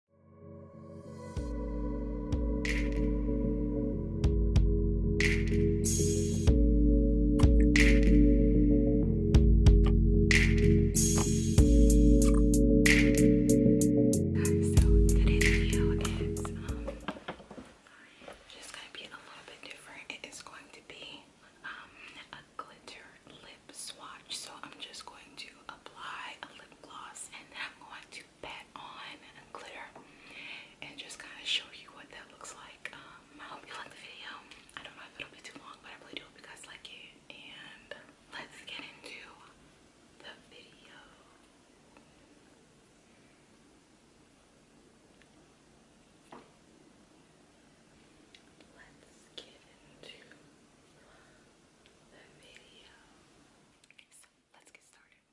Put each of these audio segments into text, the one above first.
Um, just going to be a little bit different. It is going to be um, a glitter lip swatch. So I'm just going to apply a lip gloss and I'm going to pat on a glitter and just kind of show you what that looks like. Um, I hope you like the video. I don't know if it'll be too long, but I really do hope you guys like it. And let's get into the video. Let's get into the let's get started.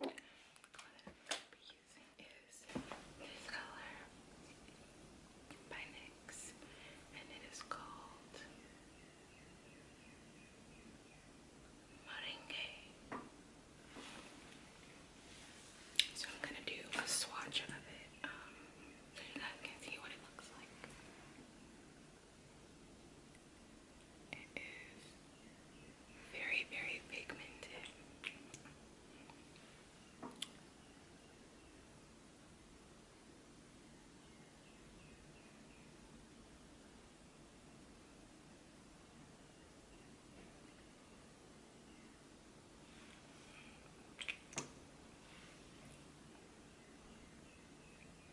The color that i using is this color by NYX and it is called Moringue. So I'm going to do a swatch of it so you guys can see what it looks like. It is very, very pigmented.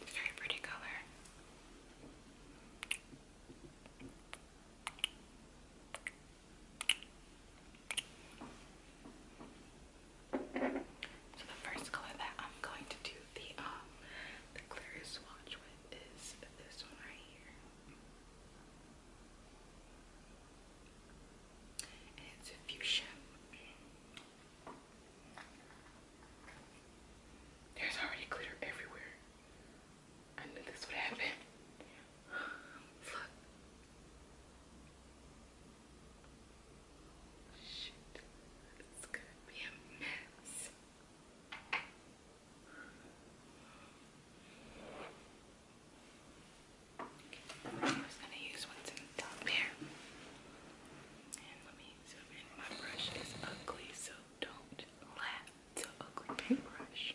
Okay. Very pretty color. So the first color that I'm going to do the um, the clear swatch with is this one right here. And it's a fuchsia. There's already glitter everywhere. I knew this would happen. It's gonna be a mess. I'm gonna use what's in the top here. And let me zoom in. My brush is ugly, so don't laugh. It's an ugly paintbrush.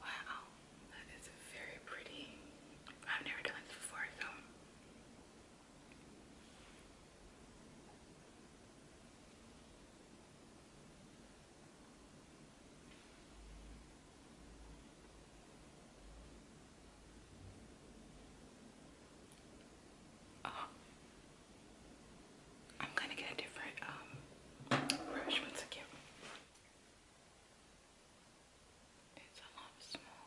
Wow, that is very pretty. I've never done this before, so. Um, I'm gonna get a different um, brush once again. It's a lot smaller.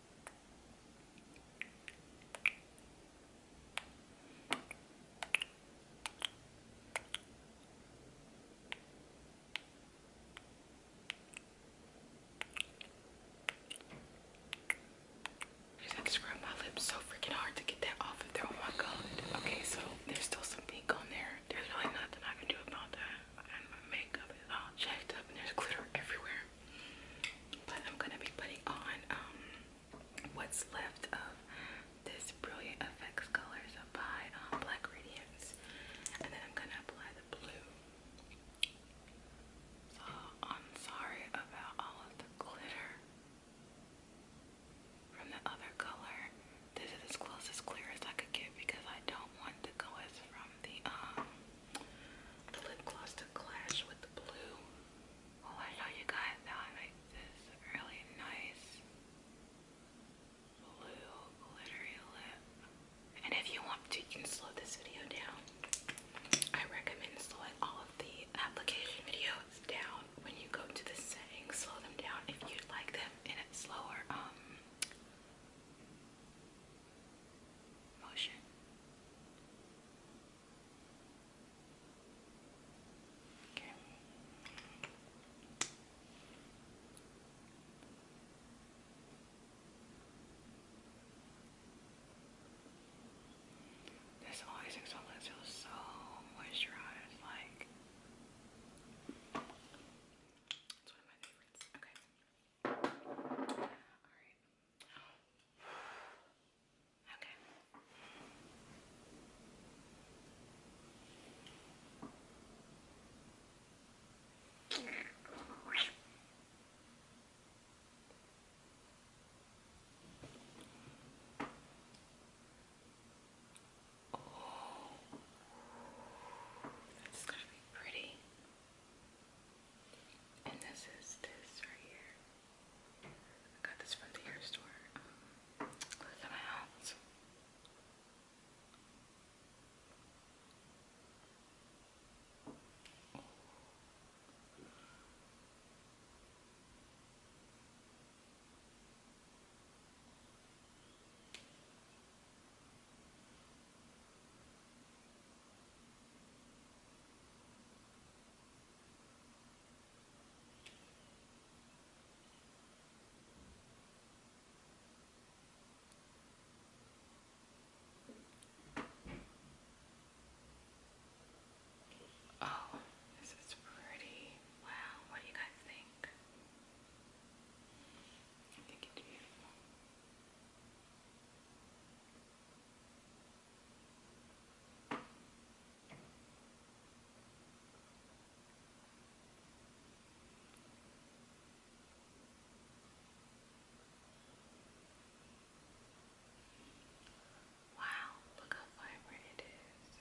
I had to scrub my lips so freaking hard to get that off of there. Oh my god. Okay, so there's still some pink on there. There's really nothing I can do about that. my makeup is all jacked up and there's glitter everywhere. But I'm gonna be putting on um, what's left of this Brilliant Effects Colors by on um, Black Radiance, and then I'm gonna apply the blue. So I'm sorry about all of the glitter from the other color. This is as close as clear as I could get because I don't want the colors from the um the lip gloss to clash with the blue. Oh, I saw you guys how this really nice blue glittery lip. And if you want to, you can slow this video down. I recommend slowing all of the application videos down when you go to the settings. Slow them down if you'd like them in a slower um motion. Okay. This always exfoliant feels so moisturized, like it's one of my favorites. Okay. Alright. Okay. Oh, that's gonna be pretty. And this is this right here. I got this from the hair store. Um, close my house. Oh, this is pretty. Wow, what do you guys think? I think it's beautiful. Wow, look how vibrant it is.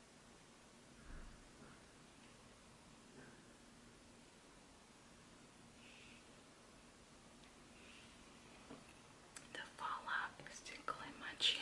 The fallout is tickling my chin.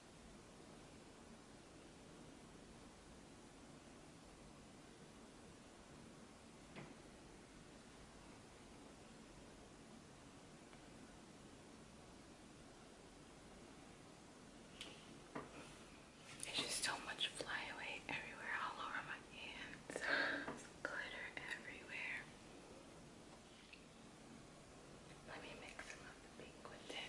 There's just so much flyaway everywhere, all over my hands. glitter everywhere. Let me mix some of the pink with it.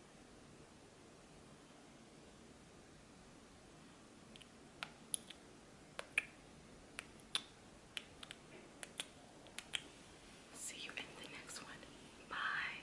See you in the next one. Bye.